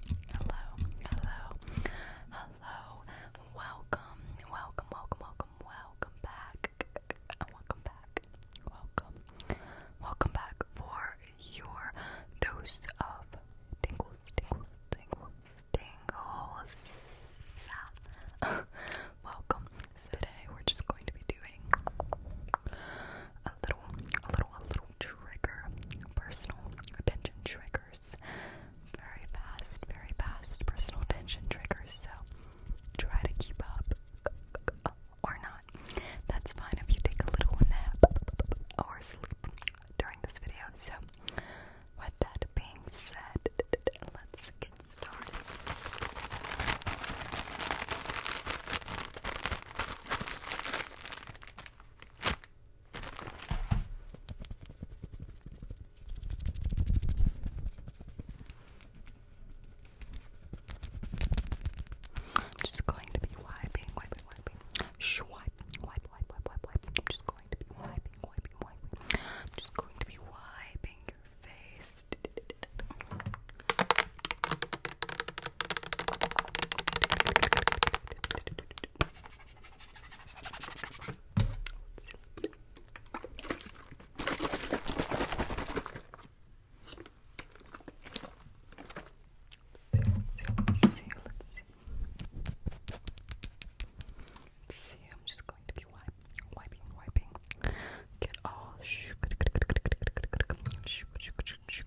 Hello, hello, hello. Welcome, welcome, welcome, welcome, welcome back. Welcome back. Welcome. Welcome back for your dose of tingle, tingle, tingle, tingle. welcome. Today we're just going to be doing a little, a little, a little trigger personal attention triggers very fast, very fast personal attention triggers. So try to keep up or not. That's fine if you take a little nap or sleep during this video. So, with that being said, let's get started. I'm just going to be wiping, wiping, wiping. Shwipe, wipe, wipe, wipe, wipe, wipe. I'm just going to be wiping, wiping, wiping. I'm just going to be wiping your face. Let's see, let's see. Let's see, I'm just going to be wiping, wiping, wiping. Get all shook, shook, shook, shook, shook,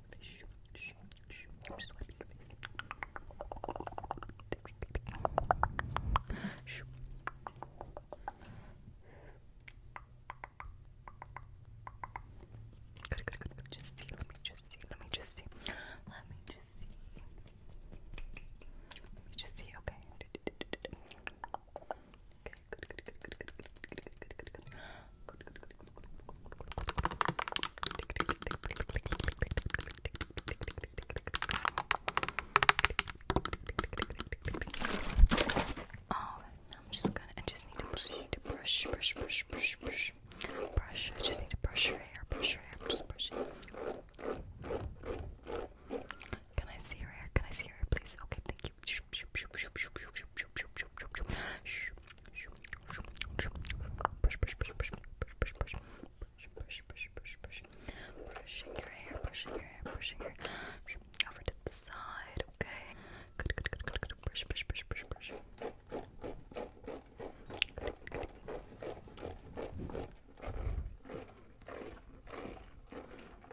swiping Shh, shh, I'm swiping Shh. Good, good, Just see. Let me just see. Let me just see. Let me just see. Let me just see. Okay. Okay, good, good, good, good, good, good, good, good, good. Good, good, good, good, good. Oh, I'm just gonna I just need to brush need to brush, brush, brush, brush, brush. Brush. I just need to brush your hair, brush your hair, just brush it. Can I see your hair? Can I see your hair, please? Okay, thank you. Brushing your hair, brushing your hair, brushing your hair. Over to the side, okay? Good, good, good, good, good. Brush, brush, brush, brush, brush. Good, good, good. Good.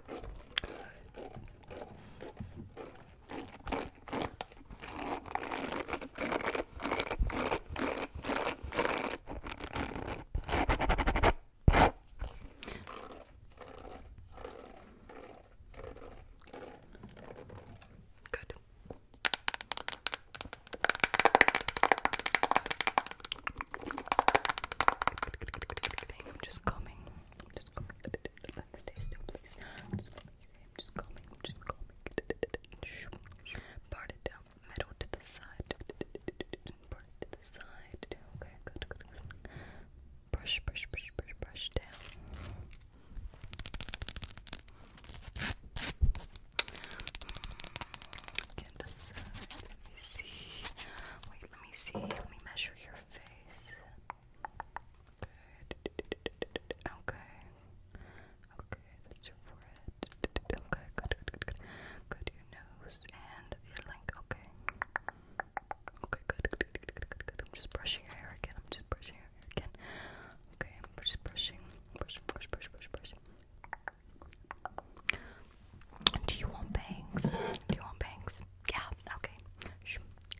I'm just coming. I'm just coming just combing just combing. just combing. Part it down middle to the side. Part it to the side. Okay, good, good, Brush, brush, brush, brush, brush down. Let me see. Wait, let me see. Let me measure your face face. Okay. Okay, that's your forehead. Okay, good, good, good, good. your nose and your length. Okay. Okay, good, good, good, good, good. I'm just brushing your hair again. I'm just brushing your hair again. Okay, I'm just brushing. Brush, brush, brush, brush, brush. Do you want bangs? Do you want bangs? Yeah, okay. Shoo. I'm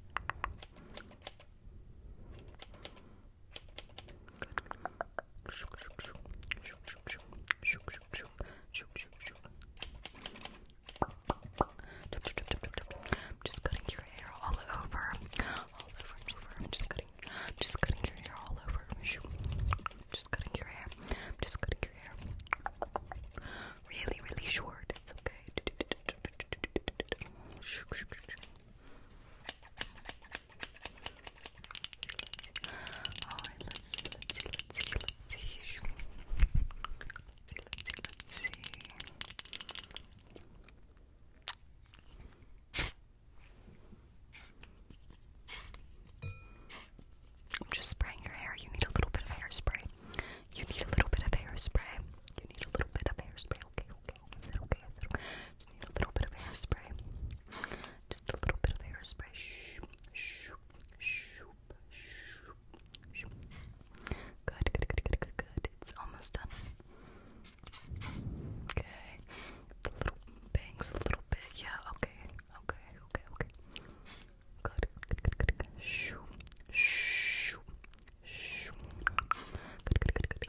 just cutting your hair all over. All over, all over. I'm just cutting. Just cutting your hair all over. Just cutting your hair. Just cutting really, really short. It's okay. I'm just spraying your hair. You need a little bit of hairspray. You need a little bit of hairspray. You need a little bit of hairspray. Okay, okay. Is that okay? Is that okay? Just need a little bit of hairspray. Just a little bit of hairspray. Shoop, shoop, shoop, shoop, shoop. Good, good, good, good, good, good. It's almost done. Okay. The little bangs a little bit. Yeah, okay. Okay, okay, okay. Good, good, good, good, good. Shoo, shoo, shoo. Good, good, good, good. Good,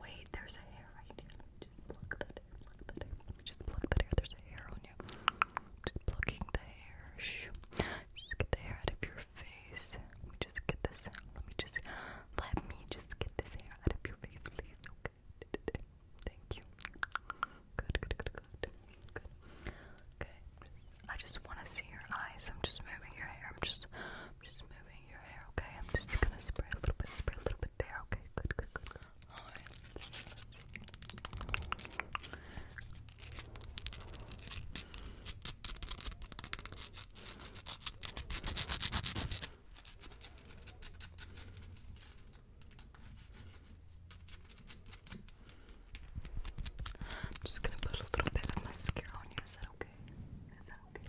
Wait, there's a hair right here. just pluck that hair, just pluck that hair. There's a hair on you. Just plucking the hair. Shoo. Just get the hair out of your face. Let me just get this. Let me just. Let me just get this hair out of your face, please. Okay. Thank you. Good, good, good, good. Good. Okay. I just want to see your eyes. I'm just moving your hair. I'm just, I'm just moving your hair, okay? I'm just gonna spray a little bit, spray a little bit there, okay? Good, good, good. Alright. I'm just gonna put a little bit of mascara on you. Is that okay? Is that okay?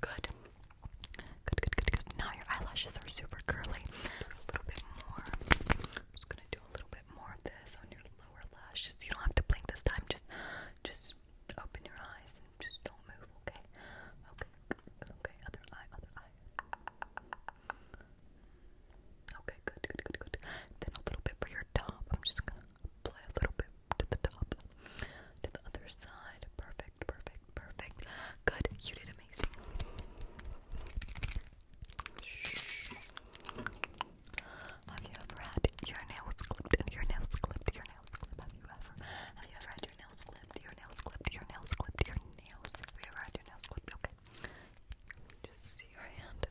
Good. Good, good, good, Now your eyelashes are super curly. A little bit more. just gonna do a little bit more of this on your lower lashes. You don't have to blink this time. Just, just open your eyes and just don't move. Okay. Okay. Okay. Other eye. Other eye. Okay. Good. Good. Good. Good. Then a little bit for your top. I'm just Apply a little bit to the top, to the other side. Perfect, perfect, perfect. Good, you did amazing. Have you ever had your nails clipped? Your nails clipped? Your nails clipped? Have you ever? Have you ever had your nails clipped? Your nails clipped? Your nails clipped? Your nails? Have you ever had your nails clipped? Okay. Just see your hand.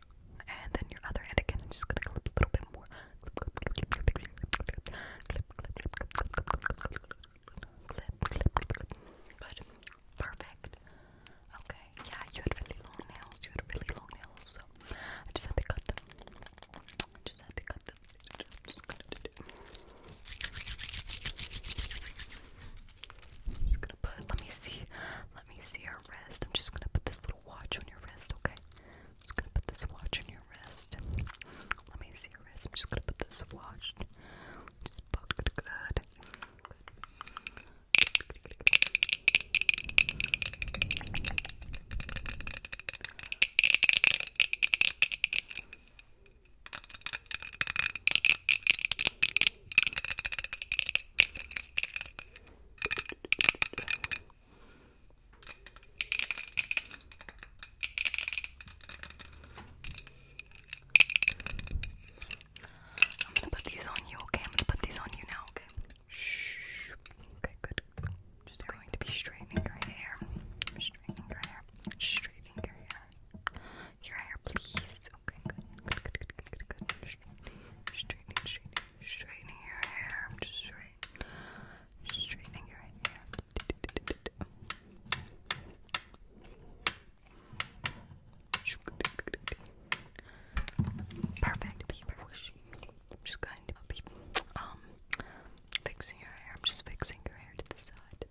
And then your other hand again. I'm just gonna clip a little bit more. Clip, Perfect. Okay. Yeah, you had really long nails. You had really long nails, so I just had to cut them. I just had to cut them. just gonna put. Let me see. Let me see your wrist. I'm just gonna put this little watch on your wrist, okay? I'm just gonna put this watch on your wrist. Let me see your wrist. I'm just gonna put this watch. Just book good, Good. I'm gonna put these on you, okay? I'm gonna put these on you now, okay? Shh. Okay, good. Just going to be straightening your hair. Straightening your hair. Straightening your hair. Your hair, please. Straightening, straightening, straightening your hair. Just Straightening your hair. Perfect. I'm just going to be um fixing your hair. I'm just fixing your hair to the side.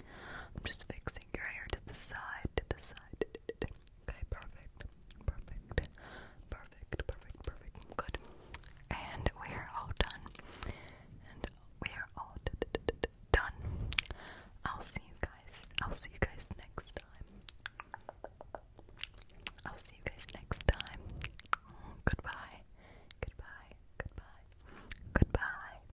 I'm just fixing your hair to the side, to the side. Okay, perfect, perfect, perfect, perfect, perfect. Good. And we are all done. And we are all done. I'll see you guys. I'll see you guys next time. I'll see you guys next time. Goodbye. Goodbye. Goodbye. Goodbye.